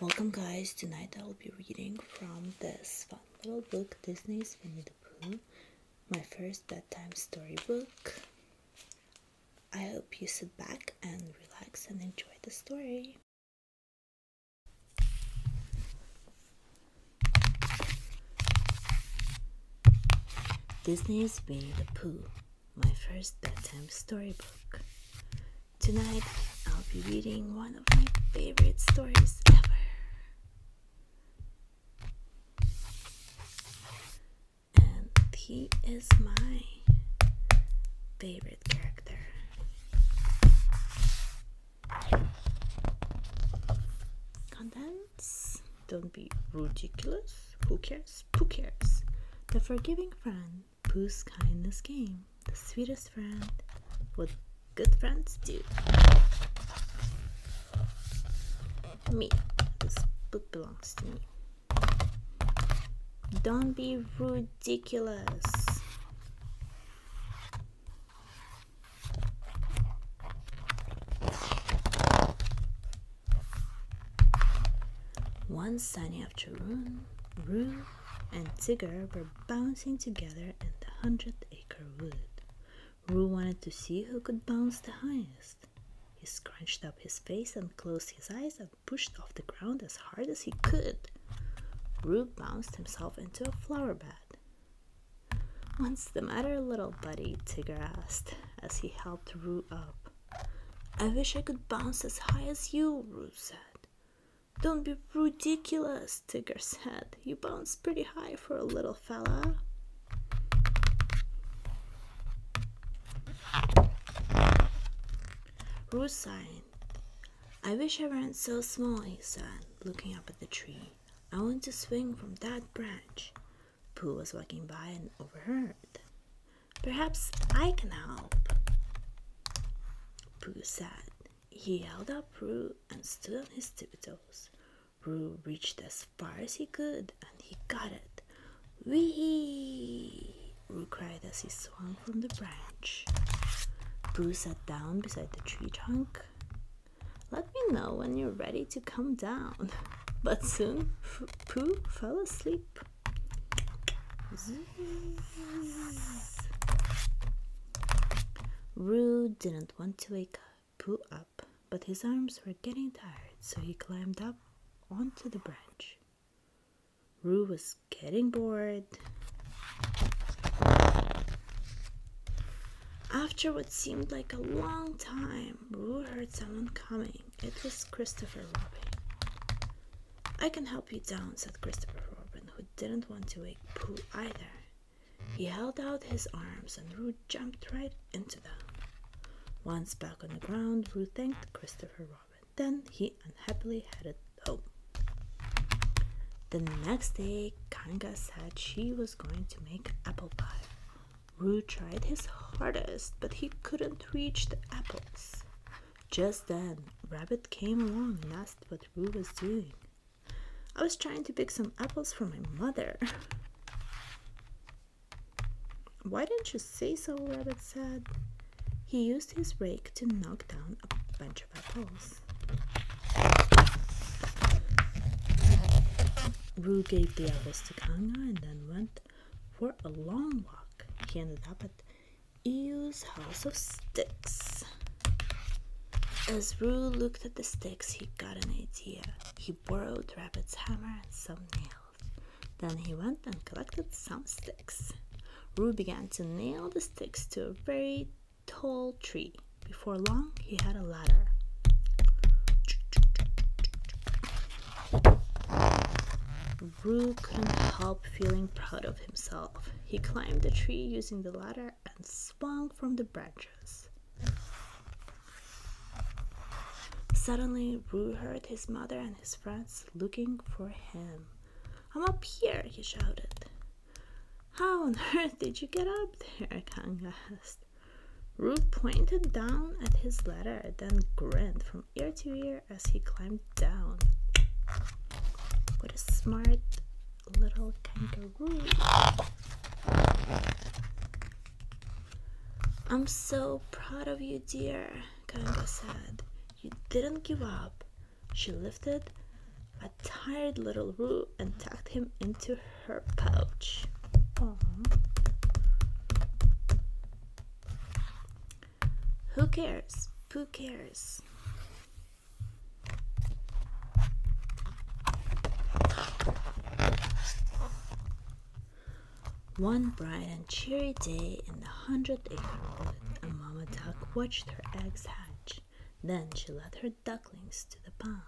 Welcome guys, tonight I'll be reading from this fun little book, Disney's Winnie the Pooh, my first bedtime storybook. I hope you sit back and relax and enjoy the story. Disney's Winnie the Pooh, my first bedtime storybook. Tonight, I'll be reading one of my favorite stories ever. And he is my favorite character. Contents Don't be ridiculous. Who cares? Who cares? The Forgiving Friend Whose kindness game? the sweetest friend, what good friends do. Me, this book belongs to me. Don't be ridiculous. One sunny afternoon, room and Tigger were bouncing together in the hundred acre wood. Roo wanted to see who could bounce the highest. He scrunched up his face and closed his eyes and pushed off the ground as hard as he could. Roo bounced himself into a flower bed. What's the matter, little buddy? Tigger asked as he helped Roo up. I wish I could bounce as high as you, Roo said. Don't be ridiculous, Tigger said. You bounce pretty high for a little fella. Ruth sighed. I wish I weren't so small, he said, looking up at the tree. I want to swing from that branch. Pooh was walking by and overheard. Perhaps I can help. Pooh said. He held up Roo and stood on his tippy toes. Roo reached as far as he could and he got it. Wee! Roo cried as he swung from the branch. Pooh sat down beside the tree trunk. Let me know when you're ready to come down. But soon Pooh fell asleep. Zzz. didn't want to wake Pooh up, but his arms were getting tired, so he climbed up onto the branch. Roo was getting bored. After what seemed like a long time, Roo heard someone coming. It was Christopher Robin. I can help you down, said Christopher Robin, who didn't want to wake Pooh either. He held out his arms and Roo jumped right into them. Once back on the ground, Roo thanked Christopher Robin. Then he unhappily headed home. The next day, Kanga said she was going to make apple pie. Roo tried his hardest, but he couldn't reach the apples. Just then, Rabbit came along and asked what Boo was doing. I was trying to pick some apples for my mother. Why didn't you say so? Rabbit said. He used his rake to knock down a bunch of apples. Roo gave the apples to Kanga and then went for a long walk. He ended up at Eels House of Sticks. As Roo looked at the sticks, he got an idea. He borrowed Rabbit's hammer and some nails. Then he went and collected some sticks. Roo began to nail the sticks to a very tall tree. Before long, he had a ladder. Roo couldn't help feeling proud of himself. He climbed the tree using the ladder and swung from the branches. Suddenly, Roo heard his mother and his friends looking for him. I'm up here, he shouted. How on earth did you get up there? Kang asked. Roo pointed down at his ladder, then grinned from ear to ear as he climbed down. What a smart little kangaroo! I'm so proud of you, dear, Kangaroo said. You didn't give up. She lifted a tired little Roo and tucked him into her pouch. Who cares? Who cares? One bright and cheery day in the hundredth acre wood, a mama duck watched her eggs hatch. Then she led her ducklings to the pond.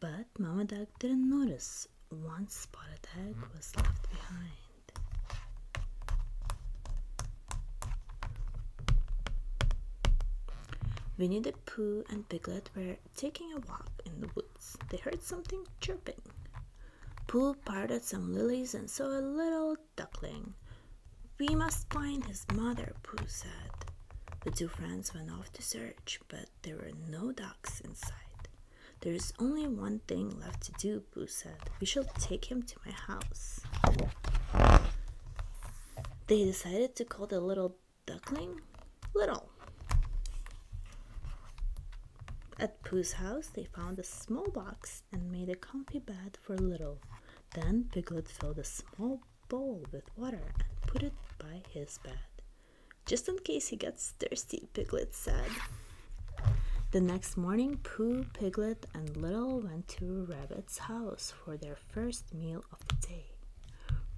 But mama duck didn't notice one spotted egg was left behind. Winnie the Pooh and Piglet were taking a walk in the woods. They heard something chirping. Pooh parted some lilies and saw a little duckling. We must find his mother, Pooh said. The two friends went off to search, but there were no ducks in sight. There is only one thing left to do, Boo said. We shall take him to my house. They decided to call the little duckling Little. At Pooh's house, they found a small box and made a comfy bed for Little. Then Piglet filled a small bowl with water and put it by his bed. Just in case he gets thirsty, Piglet said. The next morning, Pooh, Piglet, and Little went to Rabbit's house for their first meal of the day.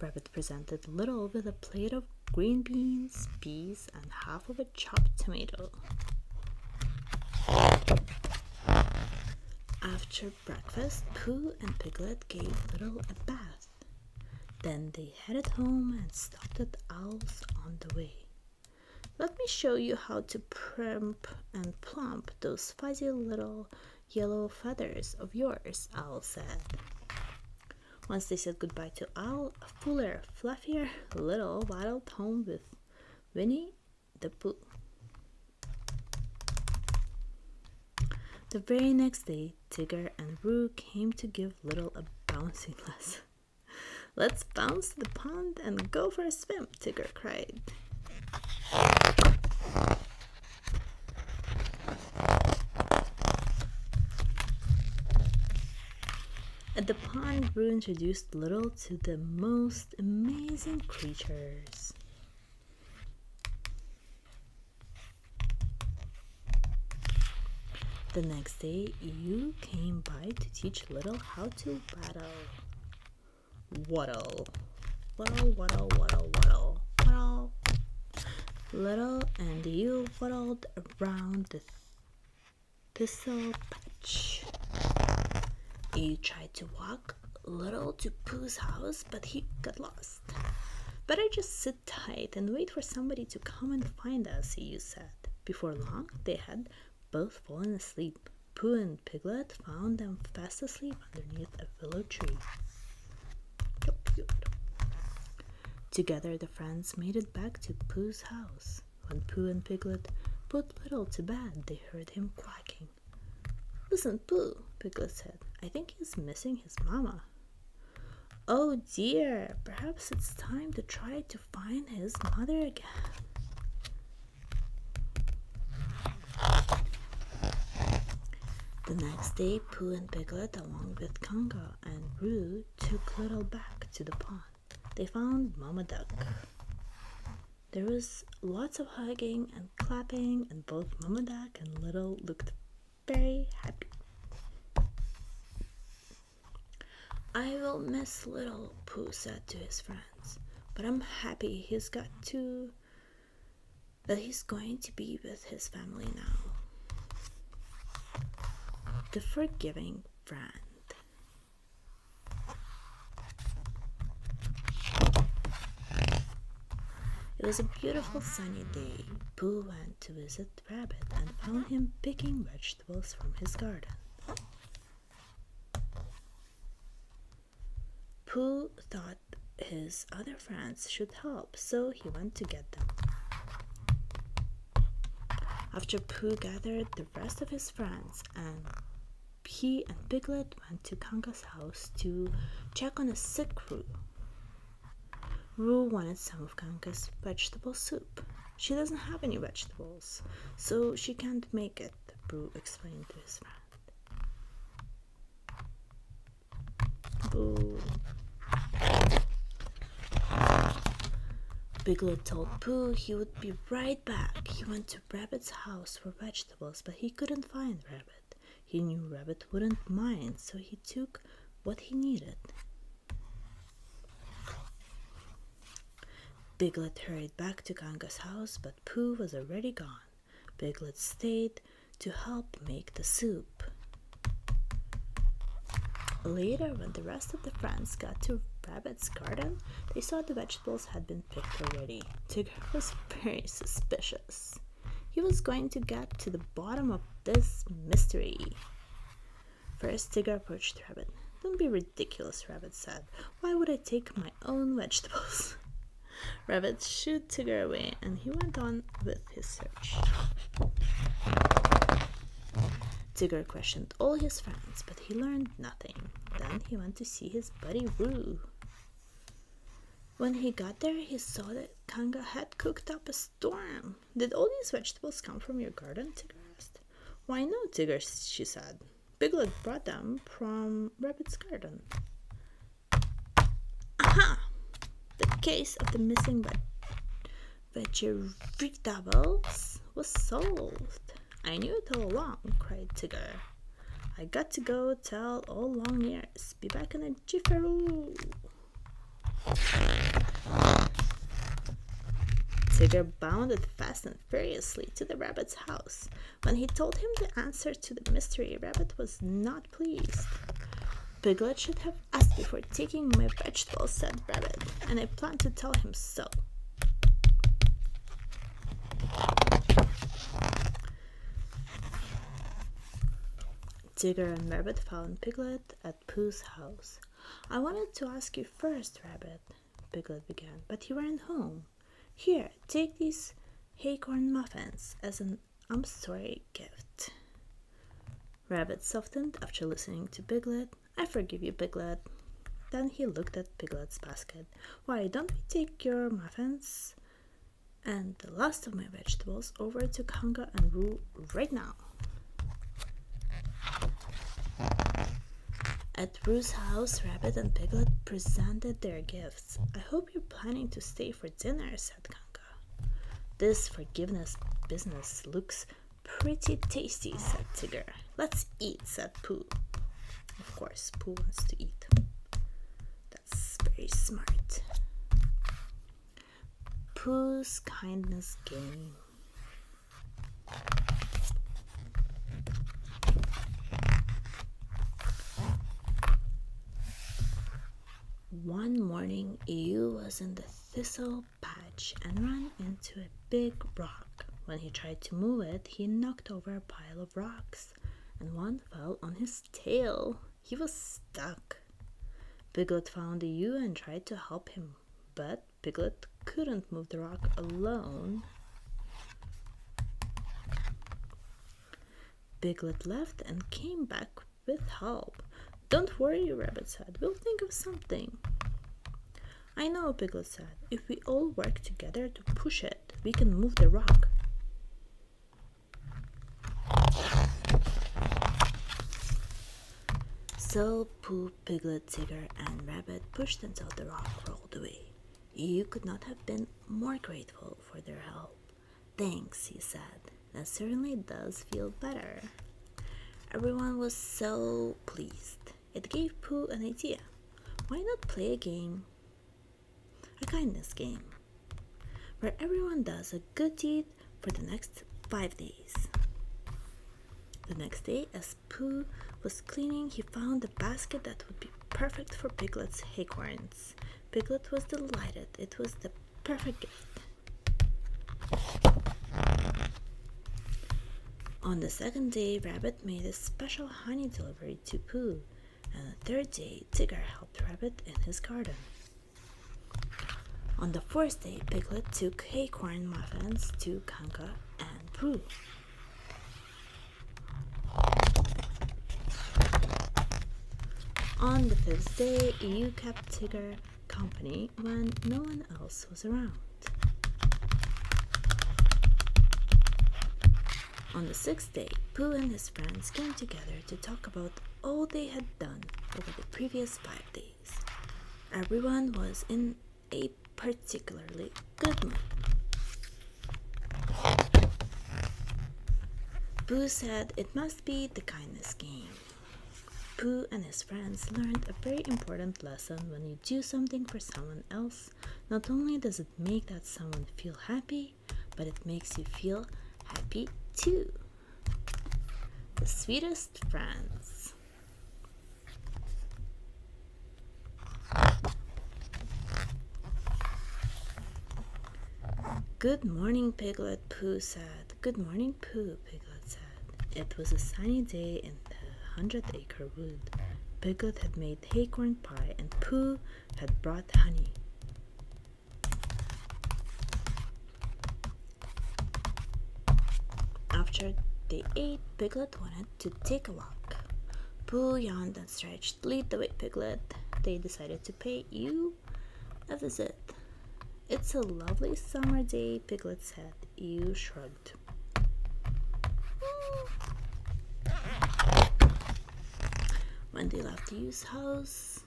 Rabbit presented Little with a plate of green beans, peas, and half of a chopped tomato. After breakfast, Pooh and Piglet gave Little a bath. Then they headed home and stopped at owls on the way. Let me show you how to primp and plump those fuzzy little yellow feathers of yours, Owl said. Once they said goodbye to Owl, fuller, fluffier little waddled home with Winnie the Pooh. The very next day, Tigger and Roo came to give Little a bouncing lesson. Let's bounce the pond and go for a swim, Tigger cried. At the pond, Roo introduced Little to the most amazing creatures. The next day, you came by to teach Little how to battle. Waddle. Waddle, waddle, waddle, waddle, waddle. Little and you waddled around this thistle patch. You tried to walk Little to Pooh's house, but he got lost. Better just sit tight and wait for somebody to come and find us, you said. Before long, they had both fallen asleep. Pooh and Piglet found them fast asleep underneath a willow tree. Together, the friends made it back to Pooh's house. When Pooh and Piglet put Little to bed, they heard him quacking. Listen, Pooh, Piglet said. I think he's missing his mama." Oh dear, perhaps it's time to try to find his mother again. The next day, Pooh and Piglet, along with Congo and Roo, took Little back to the pond. They found Mama Duck. There was lots of hugging and clapping, and both Mama Duck and Little looked very happy. I will miss little, Pooh said to his friends, but I'm happy he's got to that he's going to be with his family now. The forgiving friend. It was a beautiful sunny day. Pooh to visit Rabbit and found him picking vegetables from his garden. Pooh thought his other friends should help, so he went to get them. After Pooh gathered the rest of his friends, and he and Piglet went to Kanga's house to check on a sick crew. Rue wanted some of Kanka's vegetable soup. She doesn't have any vegetables, so she can't make it, Boo explained to his friend. Big Bigelow told Pooh he would be right back. He went to Rabbit's house for vegetables, but he couldn't find Rabbit. He knew Rabbit wouldn't mind, so he took what he needed. Biglet hurried back to Kanga's house, but Pooh was already gone. Biglet stayed to help make the soup. Later, when the rest of the friends got to Rabbit's garden, they saw the vegetables had been picked already. Tigger was very suspicious. He was going to get to the bottom of this mystery. First, Tigger approached Rabbit. Don't be ridiculous, Rabbit said. Why would I take my own vegetables? Rabbit shooed Tigger away and he went on with his search. Tigger questioned all his friends, but he learned nothing. Then he went to see his buddy Roo. When he got there, he saw that Kanga had cooked up a storm! Did all these vegetables come from your garden? Tigger Why no, Tigger, she said. Piglet brought them from Rabbit's garden. Aha! The case of the missing veg vegetables was solved. I knew it all along, cried Tigger. I got to go tell all long ears. Be back in a jifferoo. Tiger bounded fast and furiously to the rabbit's house. When he told him the answer to the mystery, Rabbit was not pleased. Piglet should have asked before taking my vegetables, said Rabbit, and I plan to tell him so. Tigger and Rabbit found Piglet at Pooh's house. I wanted to ask you first, Rabbit, Piglet began, but he ran home. Here, take these haycorn muffins as an I'm sorry gift. Rabbit softened after listening to Piglet. I forgive you, Piglet. Then he looked at Piglet's basket. Why don't we take your muffins? and the last of my vegetables over to Kanga and Roo right now. At Roo's house, Rabbit and Piglet presented their gifts. I hope you're planning to stay for dinner, said Kanga. This forgiveness business looks pretty tasty, said Tigger. Let's eat, said Pooh. Of course, Pooh wants to eat very smart. Pooh's kindness game. One morning, Ewe was in the thistle patch and ran into a big rock. When he tried to move it, he knocked over a pile of rocks, and one fell on his tail. He was stuck. Piglet found the ewe and tried to help him, but Piglet couldn't move the rock alone. Piglet left and came back with help. Don't worry, Rabbit said. We'll think of something. I know, Piglet said. If we all work together to push it, we can move the rock. So Pooh, Piglet, Tigger, and Rabbit pushed until the rock rolled away. You could not have been more grateful for their help. Thanks, he said. That certainly does feel better. Everyone was so pleased. It gave Pooh an idea. Why not play a game a kindness game where everyone does a good deed for the next five days. The next day, as Pooh was cleaning, he found a basket that would be perfect for Piglet's acorns. Piglet was delighted. It was the perfect gift. On the second day, Rabbit made a special honey delivery to Pooh and the third day Tigger helped Rabbit in his garden. On the fourth day, Piglet took acorn muffins to Kanka and Pooh. On the fifth day, you kept Tigger company when no one else was around. On the sixth day, Pooh and his friends came together to talk about all they had done over the previous five days. Everyone was in a particularly good mood. Boo said it must be the kindness game. Boo and his friends learned a very important lesson when you do something for someone else, not only does it make that someone feel happy, but it makes you feel happy too. The sweetest friends. Good morning, Piglet, Pooh said. Good morning, Pooh, Piglet said. It was a sunny day in the hundred acre wood. Piglet had made acorn pie and Pooh had brought honey. After they ate, Piglet wanted to take a walk. Pooh yawned and stretched. Lead the way, Piglet. They decided to pay you a visit. It's a lovely summer day, Piglet said. You shrugged. When they left Yu's house.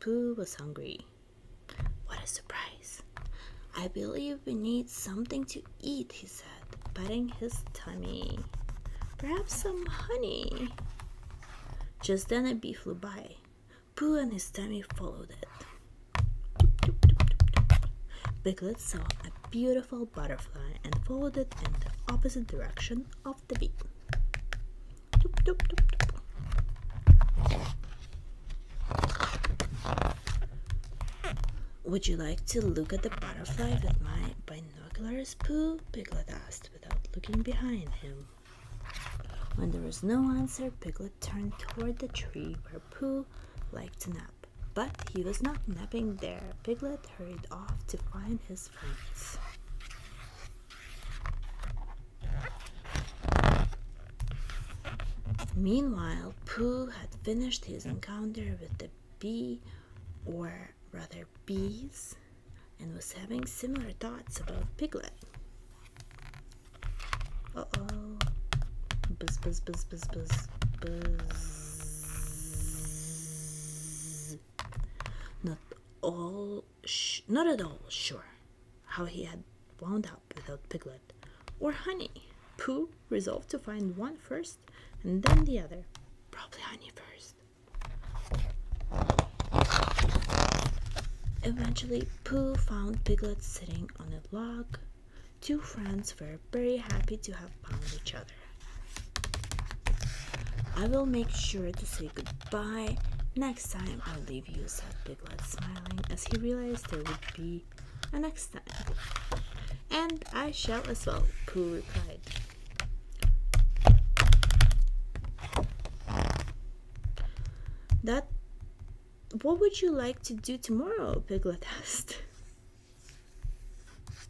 Pooh was hungry. What a surprise! I believe we need something to eat, he said, patting his tummy. Perhaps some honey. Just then a bee flew by. Pooh and his tummy followed it. Biglet saw a beautiful butterfly and followed it in the opposite direction would you like to look at the butterfly with my binoculars, Pooh? Piglet asked without looking behind him. When there was no answer, Piglet turned toward the tree where Pooh liked to nap. But he was not napping there. Piglet hurried off to find his Meanwhile, Pooh had finished his encounter with the bee, or rather bees, and was having similar thoughts about Piglet. Uh oh. Buzz, buzz, buzz, buzz, buzz, buzz. Not all, not at all sure how he had wound up without Piglet or Honey. Pooh resolved to find one first and then the other. Probably Honey first. Eventually, Pooh found Piglet sitting on a log. Two friends were very happy to have found each other. I will make sure to say goodbye next time I leave you, said Piglet, smiling as he realized there would be a next time. And I shall as well, Pooh replied. That what would you like to do tomorrow? Piglet asked.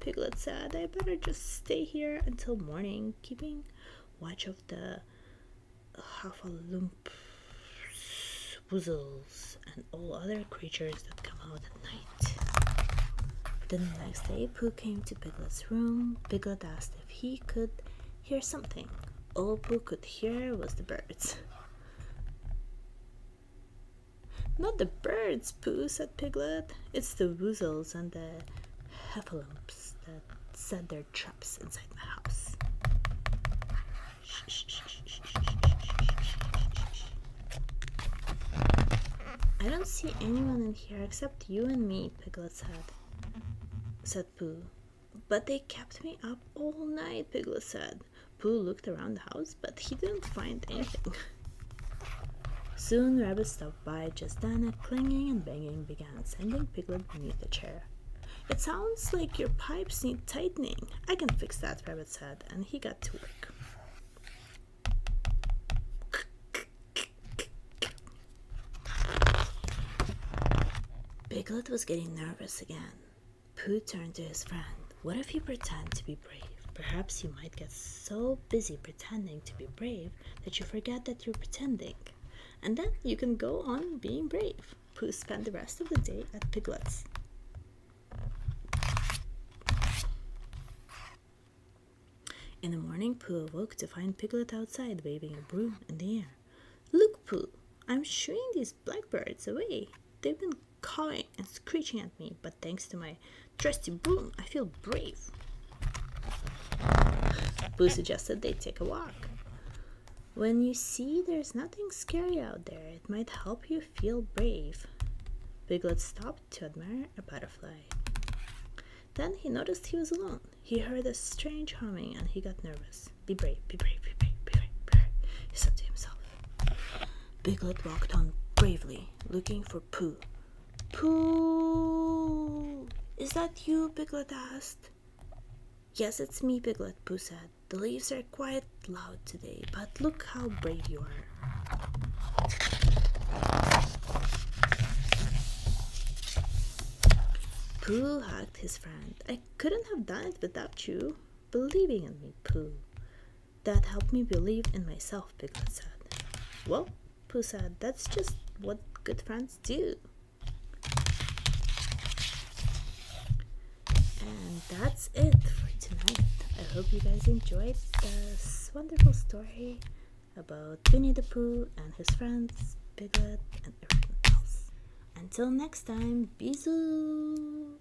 Piglet said, I better just stay here until morning, keeping watch of the half a Huffalump Woozles and all other creatures that come out at night. The next day, Pooh came to Piglet's room. Piglet asked if he could hear something. All Pooh could hear was the birds. Not the birds, Pooh, said Piglet. It's the Woozles and the Heffalumps that set their traps inside my house. I don't see anyone in here except you and me, Piglet said, said Pooh. But they kept me up all night, Piglet said. Pooh looked around the house, but he didn't find anything. Soon Rabbit stopped by just then a clanging and banging began sending Piglet beneath the chair. It sounds like your pipes need tightening. I can fix that, Rabbit said, and he got to work. Piglet was getting nervous again. Pooh turned to his friend. What if you pretend to be brave. Perhaps you might get so busy pretending to be brave that you forget that you're pretending. And then you can go on being brave. Pooh spent the rest of the day at Piglet's. In the morning, Pooh awoke to find Piglet outside waving a broom in the air. Look, Pooh, I'm shooing these blackbirds away. They've been cawing and screeching me, but thanks to my trusty broom, I feel brave. Boo suggested they take a walk. When you see there's nothing scary out there, it might help you feel brave. Biglet stopped to admire a butterfly. Then he noticed he was alone. He heard a strange humming and he got nervous. Be brave, be brave, be brave, be brave, be brave, he said to himself. Biglet walked on bravely, looking for for Pooh. Pooh! Is that you, Piglet asked. Yes, it's me, Piglet, Pooh said. The leaves are quite loud today, but look how brave you are. Pooh hugged his friend. I couldn't have done it without you. Believing in me, Pooh. That helped me believe in myself, Piglet said. Well, Pooh said, that's just what good friends do. And that's it for tonight. I hope you guys enjoyed this wonderful story about Winnie the Pooh and his friends, Piglet, and everyone else. Until next time, bisous!